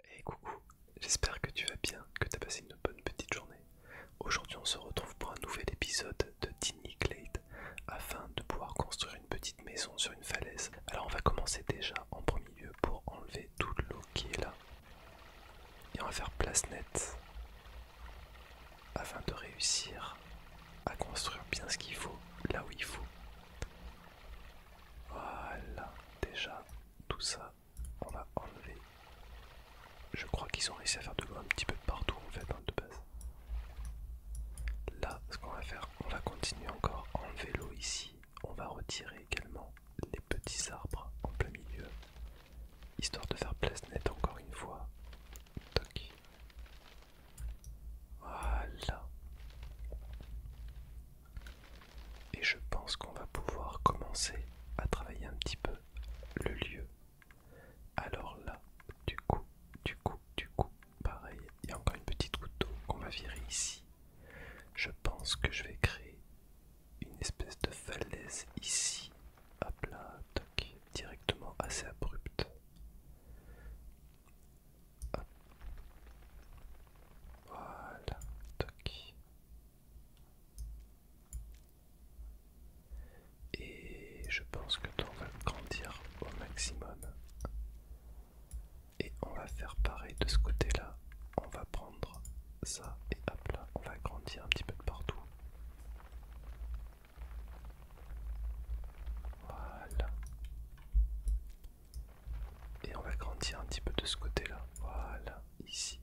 hey, coucou, j'espère que tu vas bien, que tu as passé une bonne petite journée. Aujourd'hui on se retrouve pour un nouvel épisode de Tiny Glade afin de pouvoir construire une petite maison sur une falaise. Alors on va commencer déjà en premier lieu pour enlever toute l'eau qui est là. Et on va faire place nette afin de réussir à construire bien ce qu'il faut, là où il faut. Voilà, déjà tout ça on va enlever. Je crois qu'ils ont réussi à faire de l'eau un petit peu partout en fait, hein, de base. Là, ce qu'on va faire, on va continuer encore en vélo ici. On va retirer également les petits arbres en plein milieu, histoire de faire place net encore une fois. Voilà. Et je pense qu'on va pouvoir commencer à travailler un petit peu le lieu. Alors là, du coup, du coup, du coup, pareil, il y a encore une petite couteau qu'on va virer ici. Je pense que je vais créer une espèce de falaise ici, Hop là, toc, directement assez abrupte. Voilà, toc. Et je pense que on va grandir au maximum. Et on va faire pareil de ce côté-là. On va prendre ça et hop là, on va grandir un petit peu de partout. Voilà. Et on va grandir un petit peu de ce côté-là. Voilà, ici.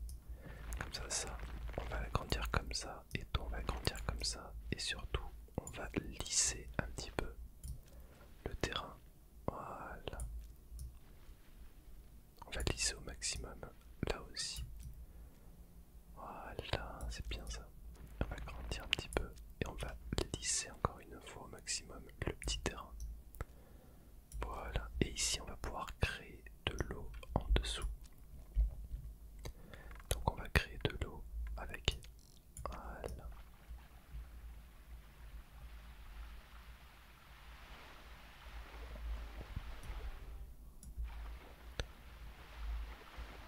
Comme ça, ça. On va grandir comme ça. Et on va grandir comme ça. Et surtout, on va lisser un petit peu le terrain. Voilà. On va lisser au maximum. Là aussi. Voilà, c'est bien ça. On va grandir un petit peu. Et on va lisser encore une fois au maximum le petit terrain. Voilà, et ici on va pouvoir créer de l'eau en dessous. Donc on va créer de l'eau avec... Voilà.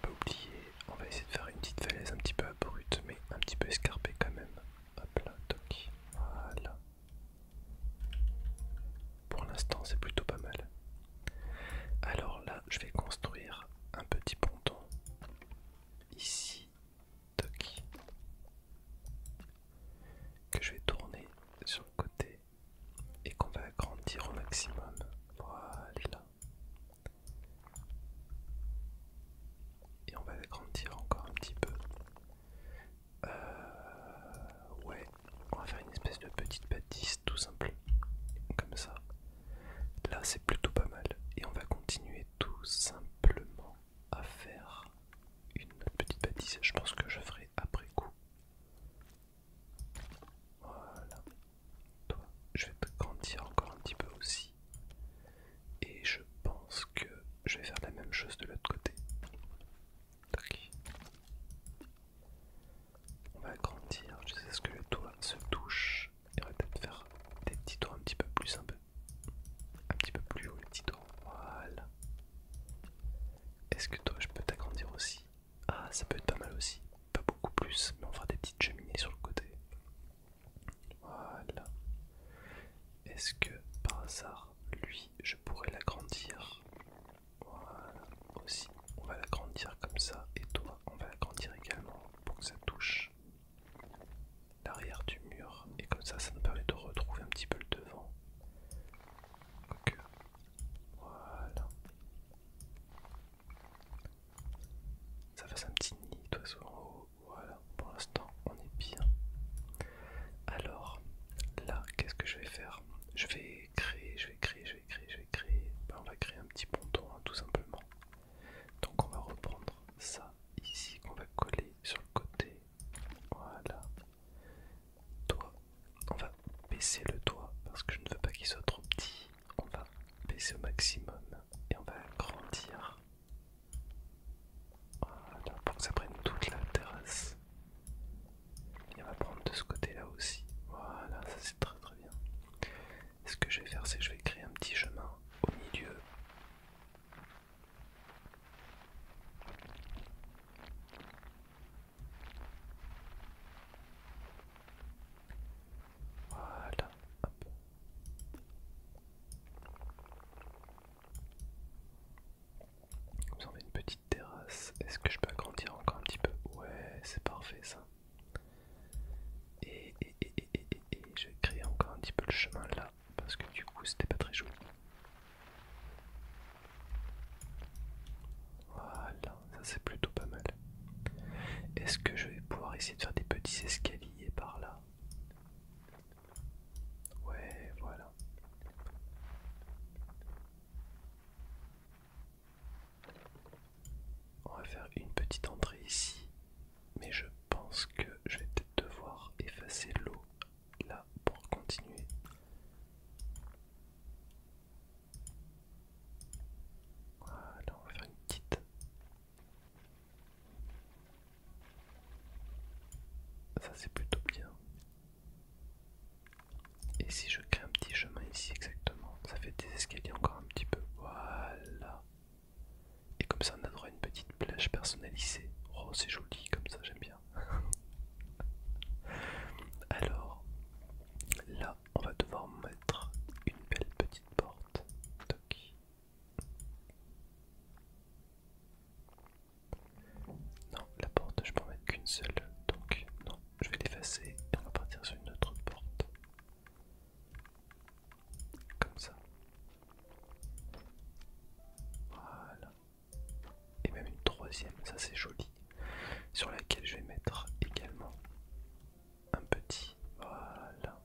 Pas oublier, on va essayer de faire une petite falaise un petit peu abrupte mais un petit peu escarpée quand même. Hop là, toc. Voilà. Pour l'instant, c'est plutôt pas mal. Alors là, je vais construire un petit ponton. Ici, Que je vais tourner sur le côté et qu'on va agrandir au maximum. Voilà. Et on va agrandir encore un petit peu. Euh, ouais, on va faire une espèce de petite bâtisse tout simplement, comme ça. Là, c'est plutôt pas mal. Et on va continuer tout simplement à faire une petite bâtisse. Je pense que je ferai après coup. Voilà. Toi, je vais te grandir encore un petit peu aussi et je pense que je vais faire la même chose de l'autre côté. On va agrandir sais ce que le toit se touche et on va peut-être faire des petits tours un petit peu plus un peu un petit peu plus haut les petits toits. Voilà. Est-ce que toi je peux t'agrandir aussi Ah ça peut être pas mal aussi. Pas beaucoup plus, mais on fera des petites cheminées sur le côté. Voilà. Est-ce que par hasard lui, je pourrais l'agrandir. Voilà, aussi, on va l'agrandir comme ça, et toi, on va l'agrandir également pour que ça touche l'arrière du mur, et comme ça, ça nous permet de retrouver un petit peu le devant. que euh, Voilà. Ça fasse un petit nid toi, sur en haut voilà, pour l'instant on est bien. Alors là, qu'est-ce que je vais faire Je vais créer, je vais créer, je vais créer, je vais créer. Ben, on va créer un petit ponton hein, tout simplement. Donc on va reprendre ça ici qu'on va coller sur le côté. Voilà. toit. on va baisser le toit parce que je ne veux pas qu'il soit trop petit. On va baisser au maximum et on va agrandir voilà, pour que ça prenne toute la terrasse. Et on va prendre de ce côté-là aussi. Voilà, ça c'est très très bien. ce que je vais faire, c'est que je vais créer un petit chemin au milieu. Voilà, comme ça on a une petite terrasse. Est-ce que je peux agrandir encore un petit peu Ouais, c'est parfait ça. Et, et, et je vais créer encore un petit peu le chemin là, parce que du coup c'était pas très joli. Voilà, ça c'est plutôt pas mal. Est-ce que je vais pouvoir essayer de faire des petits escaliers par là Ouais, voilà. On va faire une petite entrée ici, mais je pense que je vais peut-être devoir effacer l'eau là pour continuer. Voilà, on va faire une petite ça c'est plutôt bien. Et si je crée un petit chemin ici exactement, ça fait des escaliers encore un petit peu. Voilà. Et comme ça on a droit à une petite plage personnalisée. Oh c'est joli comme ça, j'aime bien. Alors là on va devoir mettre une belle petite porte. Toc. Non, la porte, je peux en mettre qu'une seule, donc non, je vais l'effacer et on va partir sur une autre porte. Comme ça. Voilà. Et même une troisième, ça c'est joli, sur laquelle je vais mettre également un petit. Voilà.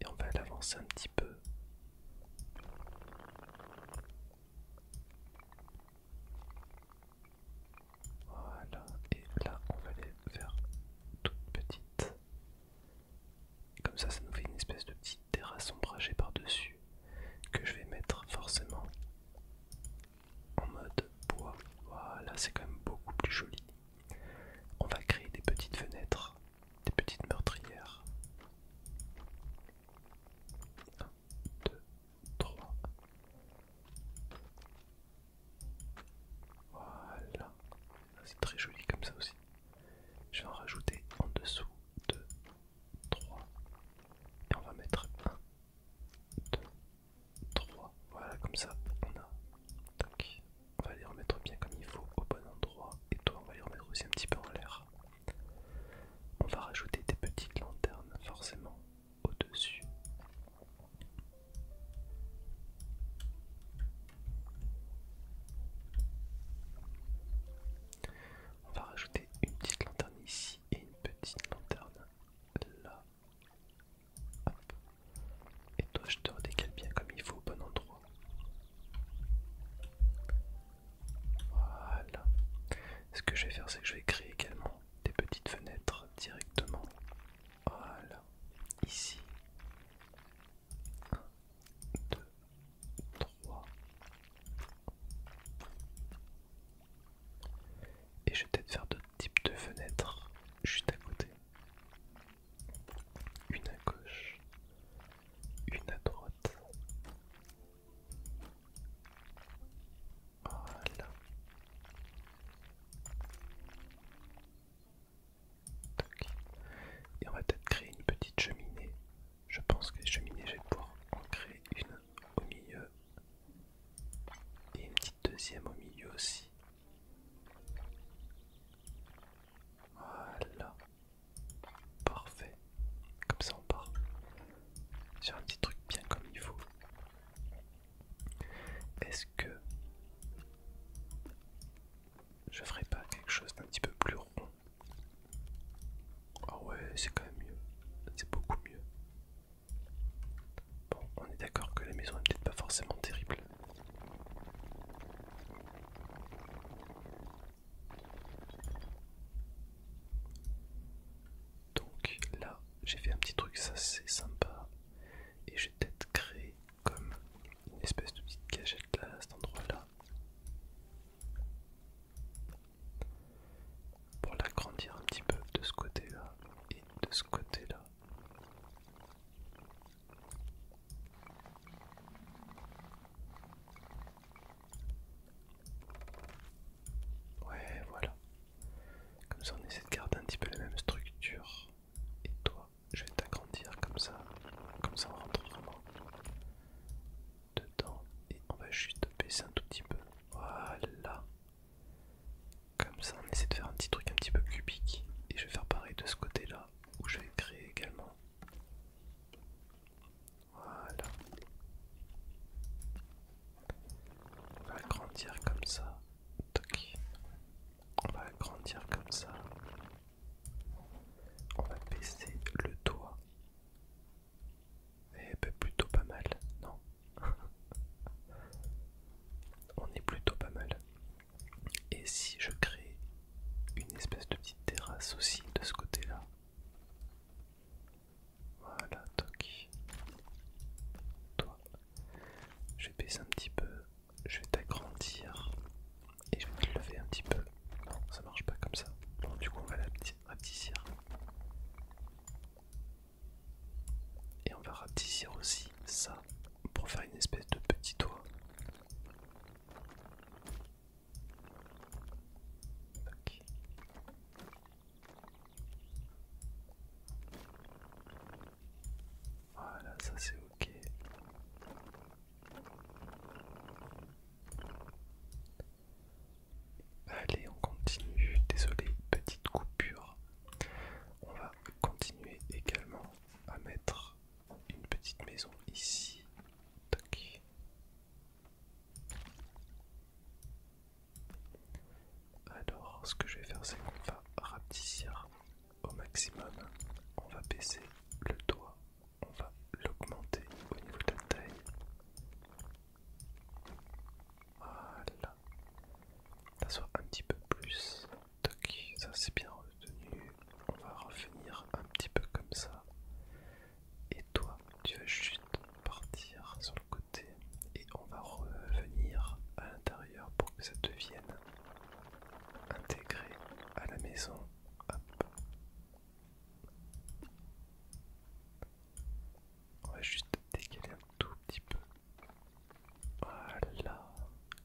Et on va l'avancer un petit peu. Voilà, et là on va aller faire toute petite. Comme ça, ça nous fait une espèce de petite terrasse ombragée par-dessus que je vais mettre forcément en mode bois. Voilà, c'est quand même beaucoup plus joli on va créer des petites fenêtres, des petites meurtrières. 1, 2, 3. Voilà. C'est très joli comme ça aussi. Je vais en rajouter en dessous. 2, 3. Et on va mettre 1, 2, 3. Voilà, comme ça, on a on va les remettre bien comme il faut au bon endroit et toi on va les remettre aussi un petit peu en l'air on va rajouter des petites lanternes forcément au dessus on va rajouter une petite lanterne ici et une petite lanterne là et toi, je te redécale bien comme il faut au bon endroit. Voilà. Ce que je vais faire, c'est que je vais créer également des petites fenêtres directement. Voilà. Ici. 1, 2, 3. Et je vais peut-être faire d'autres types de fenêtres juste à côté une à gauche, une à droite. Voilà. Et on va peut-être créer une petite cheminée. Je pense que les cheminées, je vais pouvoir en créer une au milieu et une petite deuxième au milieu aussi. Voilà. Parfait. Comme ça on part sur un petit truc bien comme il faut. Est-ce que je ferai pas quelque chose d'un petit peu plus rond Ah ouais, c'est quand même mieux. C'est beaucoup mieux. Bon, on est d'accord que la maison est peut-être pas forcément terrible. Donc là, j'ai fait un petit truc, ça c'est sympa. Et j'ai peut-être créé comme une espèce de petite cachette là, à cet endroit-là. Pour l'agrandir un petit peu de ce côté-là et de ce côté-là. Ouais, voilà. Comme ça, on essaie de garder un petit peu la même structure. Et toi, je vais t'agrandir comme ça. Comme ça, on rentre vraiment dedans. Et on va juste baisser un tout petit peu. Voilà. Comme ça, on essaie de faire un petit truc un petit peu cubique. Et je vais faire pareil de ce côté-là, où je vais créer également. Voilà. On va agrandir comme ça. On va agrandir comme ça. On va baisser le toit et eh ben plutôt pas mal, non On est plutôt pas mal. Et si je crée une espèce de petite terrasse aussi de ce côté-là. Voilà, toc. Toi. Je vais baisser un petit peu. Je vais t'agrandir. Et je vais te lever un petit peu. Non, ça marche pas comme ça. Bon, du coup, on va la rapetissir. Et on va rapetissir aussi ça pour faire une espèce de petit toit. Voilà, ça c'est ok. Allez, on continue. Désolé, petite coupure. On va continuer également à mettre une petite maison ici. Alors, ce que je vais faire, c'est qu'on va rapetisser au maximum. On va baisser le toit. on va l'augmenter au niveau de la taille. Voilà, ça soit un petit peu plus. Donc, ça c'est bien retenu. On va revenir un petit peu comme ça. Et toi, tu vas juste partir sur le côté et on va revenir à l'intérieur pour que ça devienne intégré à la maison. On va juste décaler un tout petit peu voilà,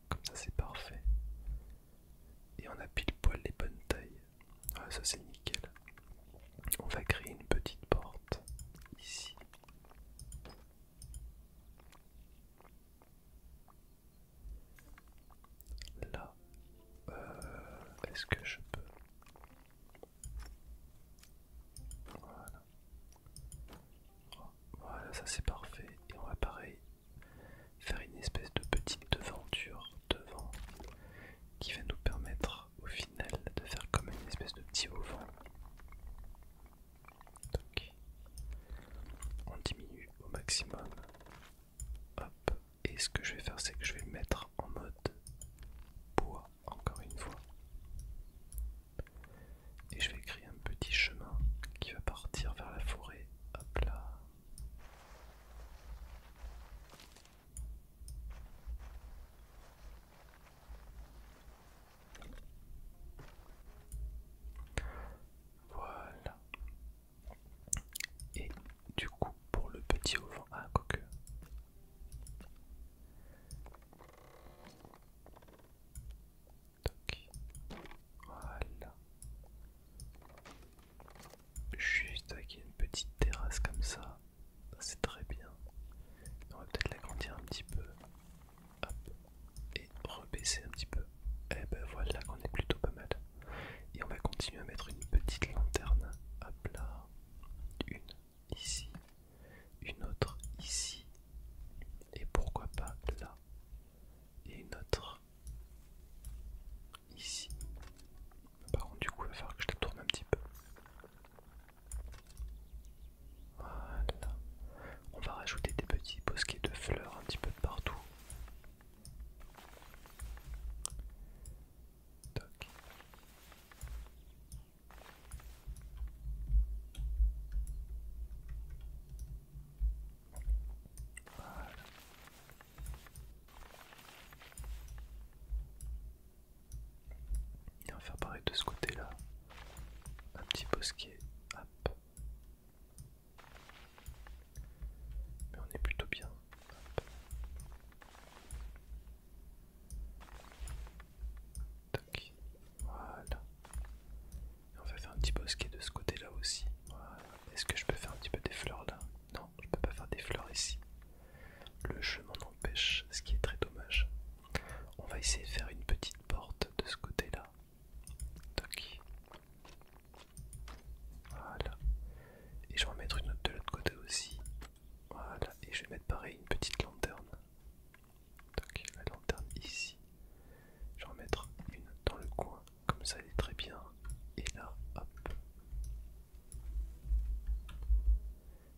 comme ça c'est parfait. Et on a pile poil les bonnes tailles. Ah, ça c'est nickel. On va créer une petite porte ici. Là, euh, est-ce que je peux Voilà. Voilà, ça c'est parfait. Et on va pareil faire une espèce de petite devanture devant qui va nous permettre au final de faire comme une espèce de petit auvent. Donc on diminue au maximum. Et ce que je vais faire c'est que je vais mettre en mode bois encore une fois. Et je vais créer un petit chemin qui va partir vers la forêt. Hop là. Voilà. Et du coup, pour le petit auvent, à ah, coque voilà. Juste avec une petite terrasse comme ça. C'est très bien. On va peut-être l'agrandir un petit peu. Hop. Et rebaisser un petit peu. Et eh ben voilà qu'on est plutôt pas mal. Et on va continuer à mettre une petite lanterne. à là. Une ici. Une autre ici. Et pourquoi pas là et une autre ici. Par contre, du coup, il va falloir que je la tourne un petit peu. Voilà. On va rajouter des petits bosquets de fleurs un petit peu de partout. Il Et on va faire pareil de ce côté-là. Un petit bosquet. Hop. Mais on est plutôt bien. Voilà. On va faire un petit bosquet de ce côté-là aussi. Est-ce que je peux faire un petit peu des fleurs là Non, je peux pas faire des fleurs ici. Le chemin empêche, ce qui est très dommage. On va essayer de faire une petite porte de ce côté-là. Toc. Voilà. Et je vais en mettre une autre de l'autre côté aussi. Voilà. Et je vais mettre pareil une petite lanterne. Donc, la lanterne ici. Je vais en mettre une dans le coin, comme ça elle est très bien. Et là, hop.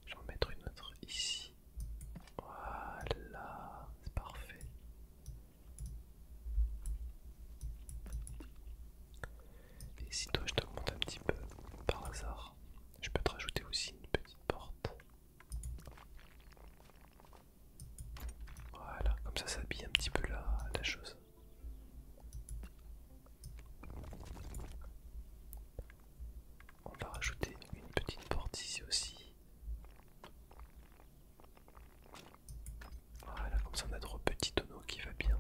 Je vais en mettre une autre ici. Voilà, c'est parfait. Et si toi je t'augmente un petit peu par hasard, je peux te rajouter aussi une petite porte. Voilà, comme ça s'habille un petit peu la, chose. On va rajouter une petite porte ici aussi. Voilà, comme ça on a trop petit tonneau qui va bien.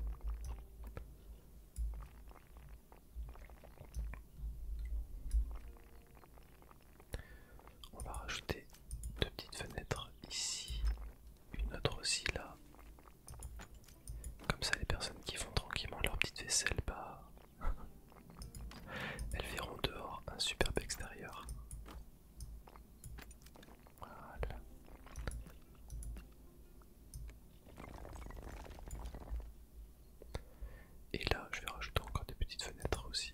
On va rajouter deux petites fenêtres ici, une autre aussi là. Comme ça, les personnes qui font tranquillement leur petite vaisselle, bah, elles verront dehors un superbe extérieur. Voilà. Et là, je vais rajouter encore des petites fenêtres aussi.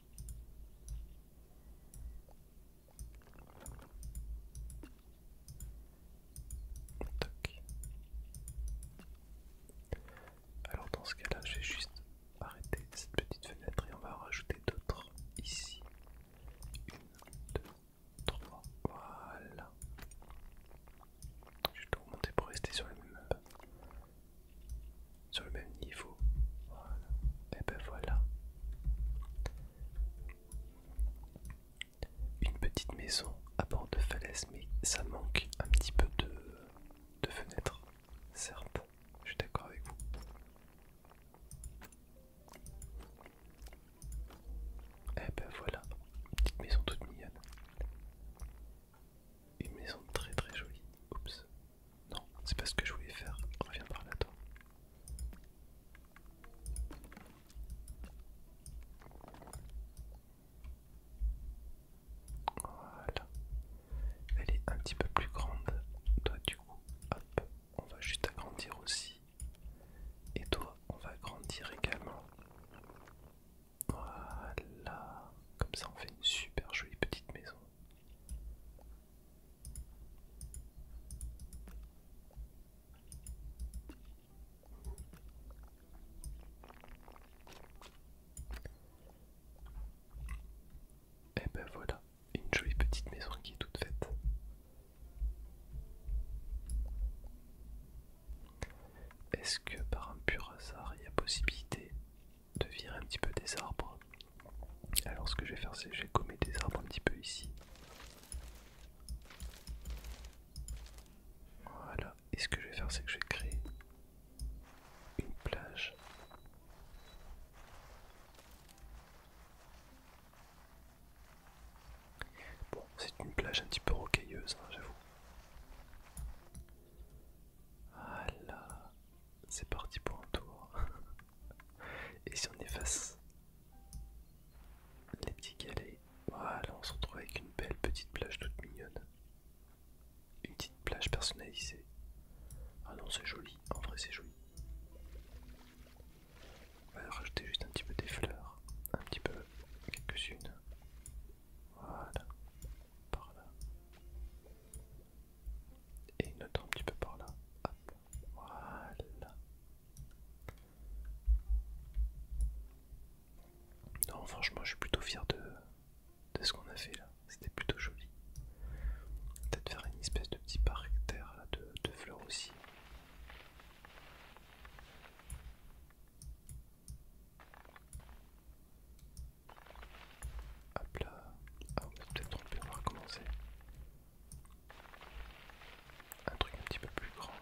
Alors dans ce cas-là, je vais juste arrêter cette petite fenêtre et on va rajouter d'autres ici. Une, deux, trois. Voilà. Je vais tout remonter pour rester sur le même sur le même niveau. Voilà. Et eh ben voilà. Une petite maison à bord de falaise, mais ça manque un petit peu de, de fenêtres, certes. Je suis d'accord avec vous. Et eh ben voilà, petite maison toute mignonne. Une maison très très jolie. Oups. Non, c'est pas ce que je voulais faire. Reviens par là toi. Voilà. Elle est un petit peu plus grande. Toi du coup, hop, on va juste agrandir aussi. Et toi, on va agrandir également. Voilà, comme ça on fait une super jolie petite maison. Et eh ben voilà, une jolie petite maison qui est toute faite. Est-ce que par un pur hasard il y a possibilité de virer un petit peu des arbres. Alors ce que je vais faire c'est que je vais gommer des arbres un petit peu ici. Voilà. Et ce que je vais faire c'est que je vais créer une plage. Bon, c'est une plage un petit peu rocailleuse, hein, j'avoue. Voilà c'est parti pour un tour. Et si on efface les petits galets, voilà, on se retrouve avec une belle petite plage toute mignonne. Une petite plage personnalisée. Ah non, c'est joli, en vrai c'est joli. On va rajouter juste un petit peu des fleurs, un petit peu quelques-unes. Voilà par là. Et une autre un petit peu par là. Hop. Voilà. Non, franchement, je suis plutôt fier de, ce qu'on a fait là. C'était plutôt joli. Peut-être faire une espèce de petit parterre de fleurs aussi. Hop là. Ah, on peut-être trompé, on va recommencer. Un truc un petit peu plus grand.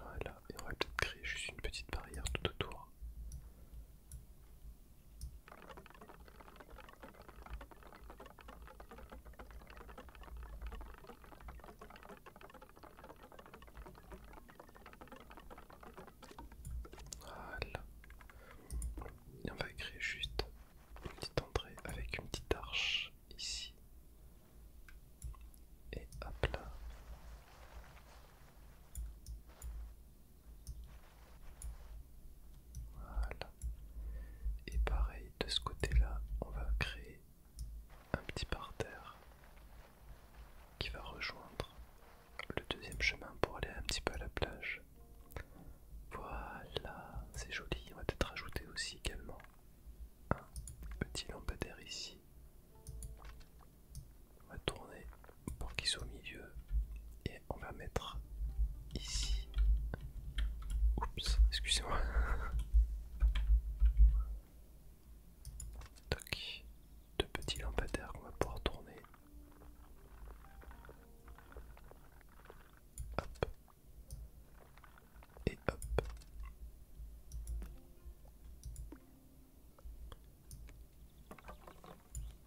Voilà, et on va peut-être créer juste une petite barrière tout autour. Voilà. on va créer juste une petite entrée avec une petite arche ici. Et hop là. Voilà. Et pareil, de ce côté-là, on va créer un petit parterre qui va rejoindre le deuxième chemin pour aller un petit peu à la plage. Voilà, c'est joli. On va peut-être ajouter aussi également un petit lampadaire ici. On va tourner pour qu'il soit au milieu on va mettre ici. Oups, excusez-moi. Toc, deux petits lampadaires qu'on va pouvoir tourner. Et hop.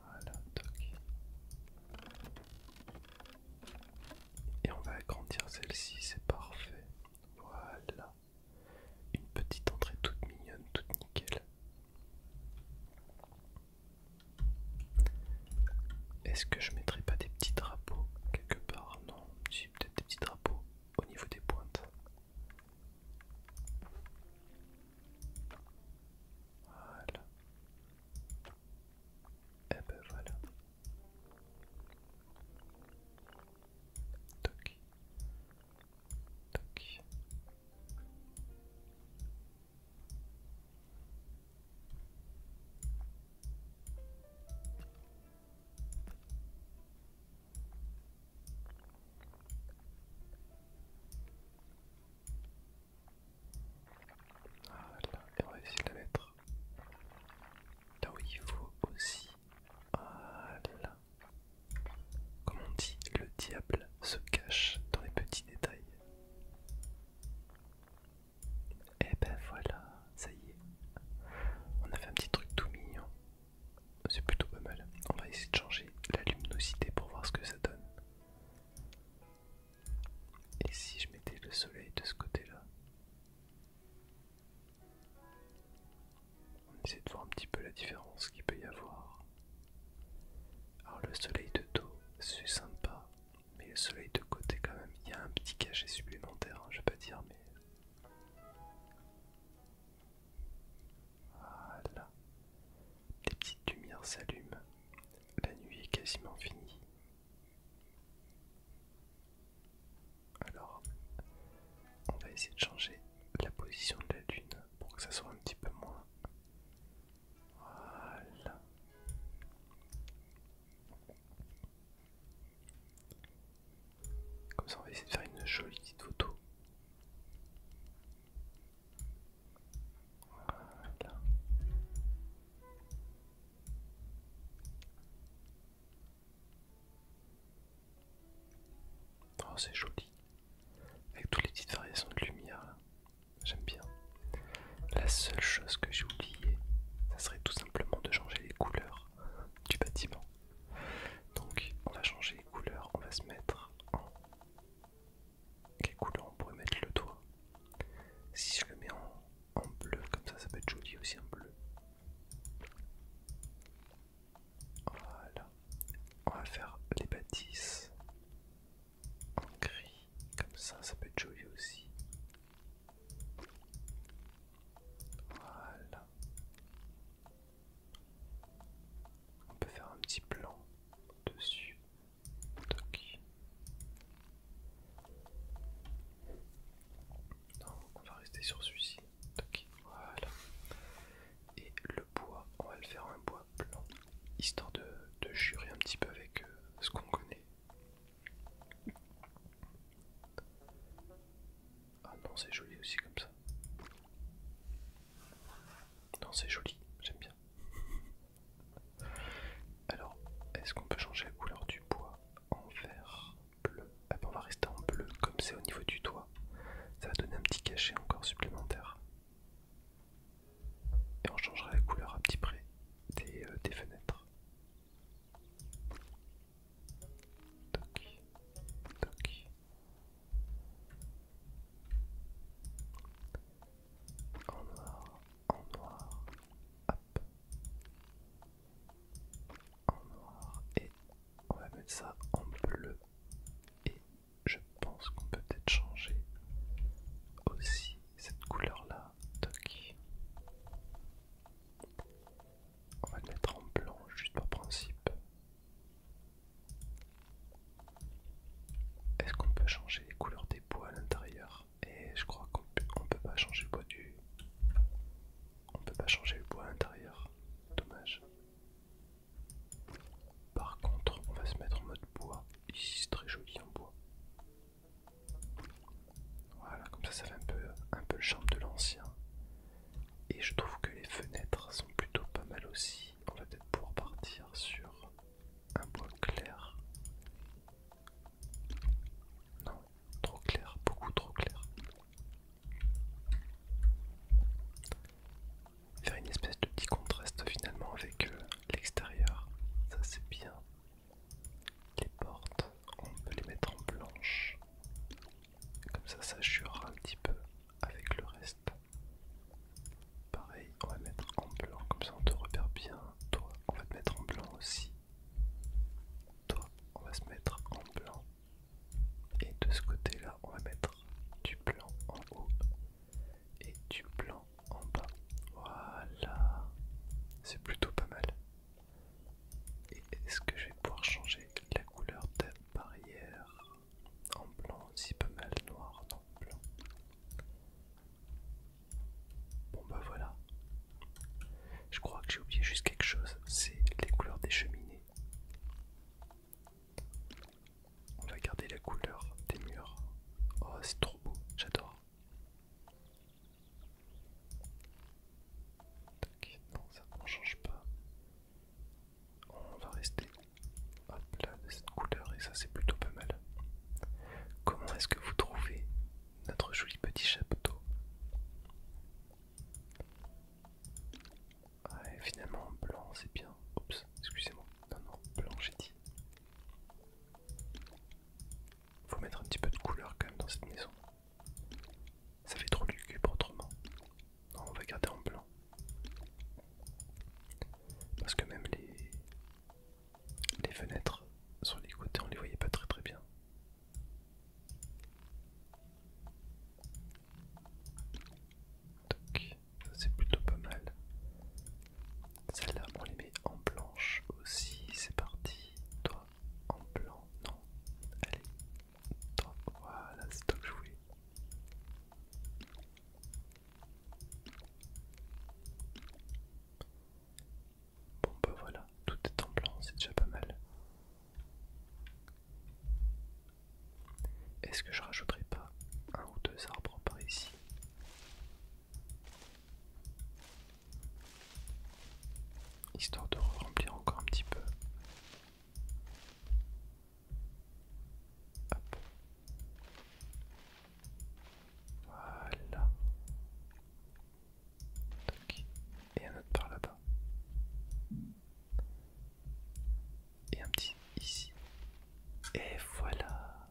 Voilà, toc. Et on va agrandir celle-ci, c'est parfait. Voilà. Une petite entrée toute mignonne, toute nickel. Est-ce que je mettrai pas des petits drapeaux quelque part Non, si peut-être des petits drapeaux au niveau des pointes. Voilà. Et ben voilà. Toc. Toc. Voilà, et on va essayer de la mettre là où il faut aussi. Voilà. Comme on dit, le diable se cache dans les petits détails. Et eh ben voilà, ça y est. On a fait un petit truc tout mignon. C'est plutôt pas mal. On va essayer de changer la luminosité pour voir ce que ça donne. Et si je mettais le soleil de ce côté-là On essaie de voir un petit peu la différence qu'il peut y avoir. Alors le soleil de dos, c'est sympa, mais le soleil de côté quand même, il y a un petit cachet supplémentaire, hein, je vais pas dire, mais... Voilà. des petites lumières s'allument la nuit est quasiment finie. Alors, on va essayer de changer la position de la lune pour que ça soit un petit peu moins. Voilà. Comme ça, on va essayer de faire une jolie petite photo. Oh, c'est joli. Avec toutes les petites variations de lumière, J'aime bien. La seule chose que j'ai oubliée, ça serait tout simplement de changer les couleurs du bâtiment. Donc, on va changer les couleurs, on va se mettre en quelle couleur on pourrait mettre le toit Si je le mets en, bleu, comme ça, ça peut être joli aussi en bleu. Voilà. On va faire les bâtisses en gris, comme ça, ça peut être joli aussi. Voilà. On peut faire un petit plan dessus on va rester sur celui-ci. Voilà. Et le bois, on va le faire un bois blanc, histoire de, jurer un petit peu avec euh, ce qu'on connaît. Ah non, c'est joli aussi comme ça. Non, c'est joli, j'aime bien. Alors, est-ce qu'on peut changer la couleur du bois en vert bleu ah ben On va rester en bleu, comme c'est au niveau du toit. Ça va donner un petit cachet encore supplémentaire. Et on changera la couleur à petit près des, euh, fenêtres en noir, en noir, hop, en noir, et on va mettre ça en bleu, et je pense qu'on peut peut-être changer aussi cette couleur-là, toc. On va le mettre en blanc juste par principe. Est-ce qu'on peut changer les couleurs des bois à l'intérieur et je crois qu'on peut pas changer le bois du on peut pas changer le bois intérieur dommage par contre on va se mettre en mode bois ici c'est très joli en bois voilà comme ça ça fait un peu un peu le charme de l'ancien et je trouve que les fenêtres sont plutôt pas mal aussi on va peut-être pouvoir partir sur un bois clair. Non, trop clair, beaucoup trop clair. Faire une espèce de petit contraste finalement avec euh, l'extérieur, ça c'est bien. Les portes, on peut les mettre en blanche. Comme ça, ça jurera un petit peu avec le reste. Pareil, on va mettre en blanc, comme ça on te repère bien. Toi, on va te mettre en blanc aussi. Toi, on va se mettre en blanc. Et de ce côté-là, on va mettre du blanc en haut et du blanc en bas. Voilà. C'est plutôt pas mal. Et est-ce que je vais pouvoir changer la couleur de la barrière en blanc aussi pas mal noir, non Bon bah voilà. Je crois que j'ai oublié juste quelque chose, c'est les couleurs des cheminées. On va garder la couleur des murs. Oh c'est trop beau, j'adore. Non ça on change pas. On va rester de cette couleur, et ça c'est plutôt pas mal. Comment est-ce que vous trouvez notre joli petit chapeau Ouais, ah, finalement, blanc c'est bien. Oups, excusez-moi. Non, non, blanc j'ai dit. Faut mettre un petit peu de couleur quand même dans cette maison. Ça fait trop lugubre autrement. Non, on va garder en blanc. Parce que même les, les fenêtres sur les côtés, on les voyait pas très très bien. Donc, ça c'est plutôt pas mal. celles là on les met en blanche aussi. C'est parti. Toi, en blanc. Non. Allez. Toi, voilà, c'est toi que Bon ben voilà, tout est en blanc, c'est déjà pas mal. Est-ce que je rajouterai pas un ou deux arbres par ici Histoire de remplir encore un petit peu. Voilà. Et un autre par là-bas. Et un petit ici. Et voilà.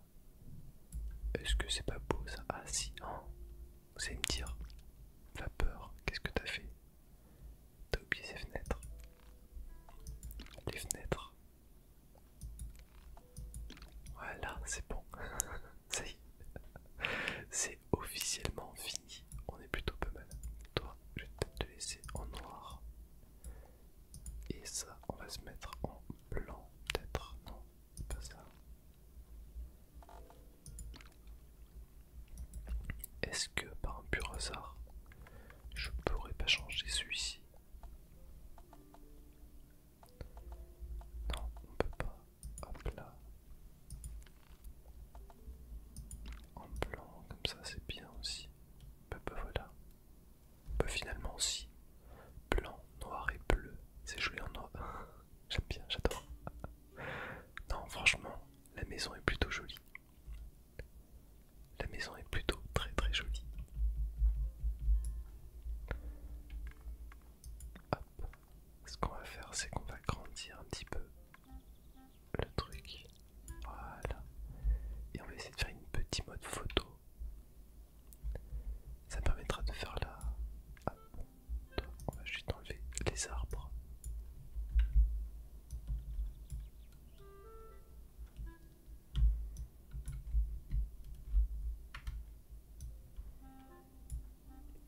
Est-ce que c'est pas beau ça Ah si, Vous allez me dire. Vapeur, qu'est-ce que t'as fait T'as oublié ces fenêtres. Les fenêtres, voilà, c'est bon. Ça y est. C'est officiellement fini. On est plutôt pas mal. Toi, je vais peut-être te laisser en noir. Et ça, on va se mettre en blanc, peut-être. Non, pas ça. Est-ce que par un pur hasard, je pourrais pas changer celui-ci non, on peut pas. Hop là. En blanc, comme ça, c'est bien aussi. on bah, peut bah, voilà. Peut bah, finalement, aussi. Blanc, noir et bleu. C'est joli en noir. J'aime bien, j'adore. Non, franchement, la maison est plutôt jolie. La maison est plutôt très très jolie. Ce qu'on va faire, c'est qu'on va grandir un petit peu le truc. Voilà. Et on va essayer de faire une petite mode photo. Ça permettra de faire la... on va juste enlever les arbres.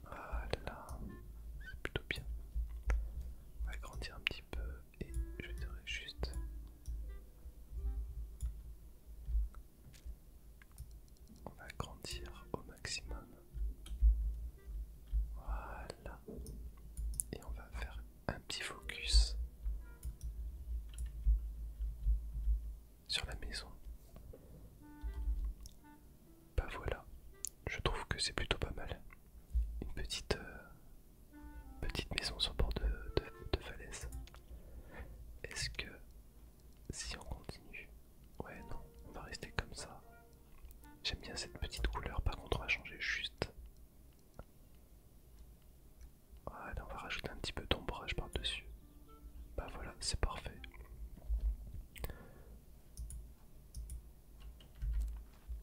Voilà, c'est plutôt bien. On va grandir un petit peu et je dirais juste on va grandir au maximum. Voilà. Et on va faire un petit focus sur la maison. Bah voilà, je trouve que c'est plutôt pas mal. Une petite, euh, petite maison sur bord de, de falaise. Est-ce que si on continue Ouais non, on va rester comme ça. J'aime bien cette petite couleur, par contre on va changer juste on va rajouter un petit peu d'ombrage par-dessus. Bah voilà, c'est parfait.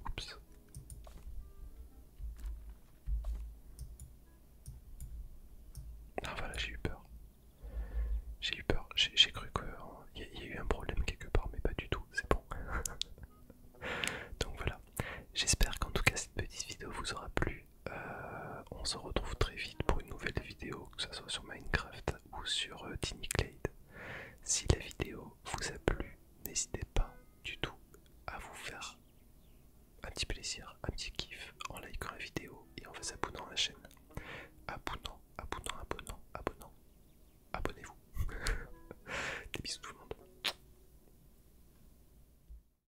Oups. Ah voilà, j'ai eu peur. J'ai eu peur, j'ai cru qu'il euh, y, y a eu un problème quelque part, mais pas du tout, c'est bon. Donc voilà, j'espère qu'en tout cas cette petite vidéo vous aura plu. Euh, on se retrouve très vite pour une nouvelle vidéo, que ce soit sur Minecraft ou sur euh, Tiny Clade. Si la vidéo vous a plu, n'hésitez pas du tout à vous faire un petit plaisir, un petit kiff en likant la vidéo et en vous abonnant à la chaîne. Abonnant, abonnant, abonnant, abonnant. Abonnez-vous. Des bisous tout le monde.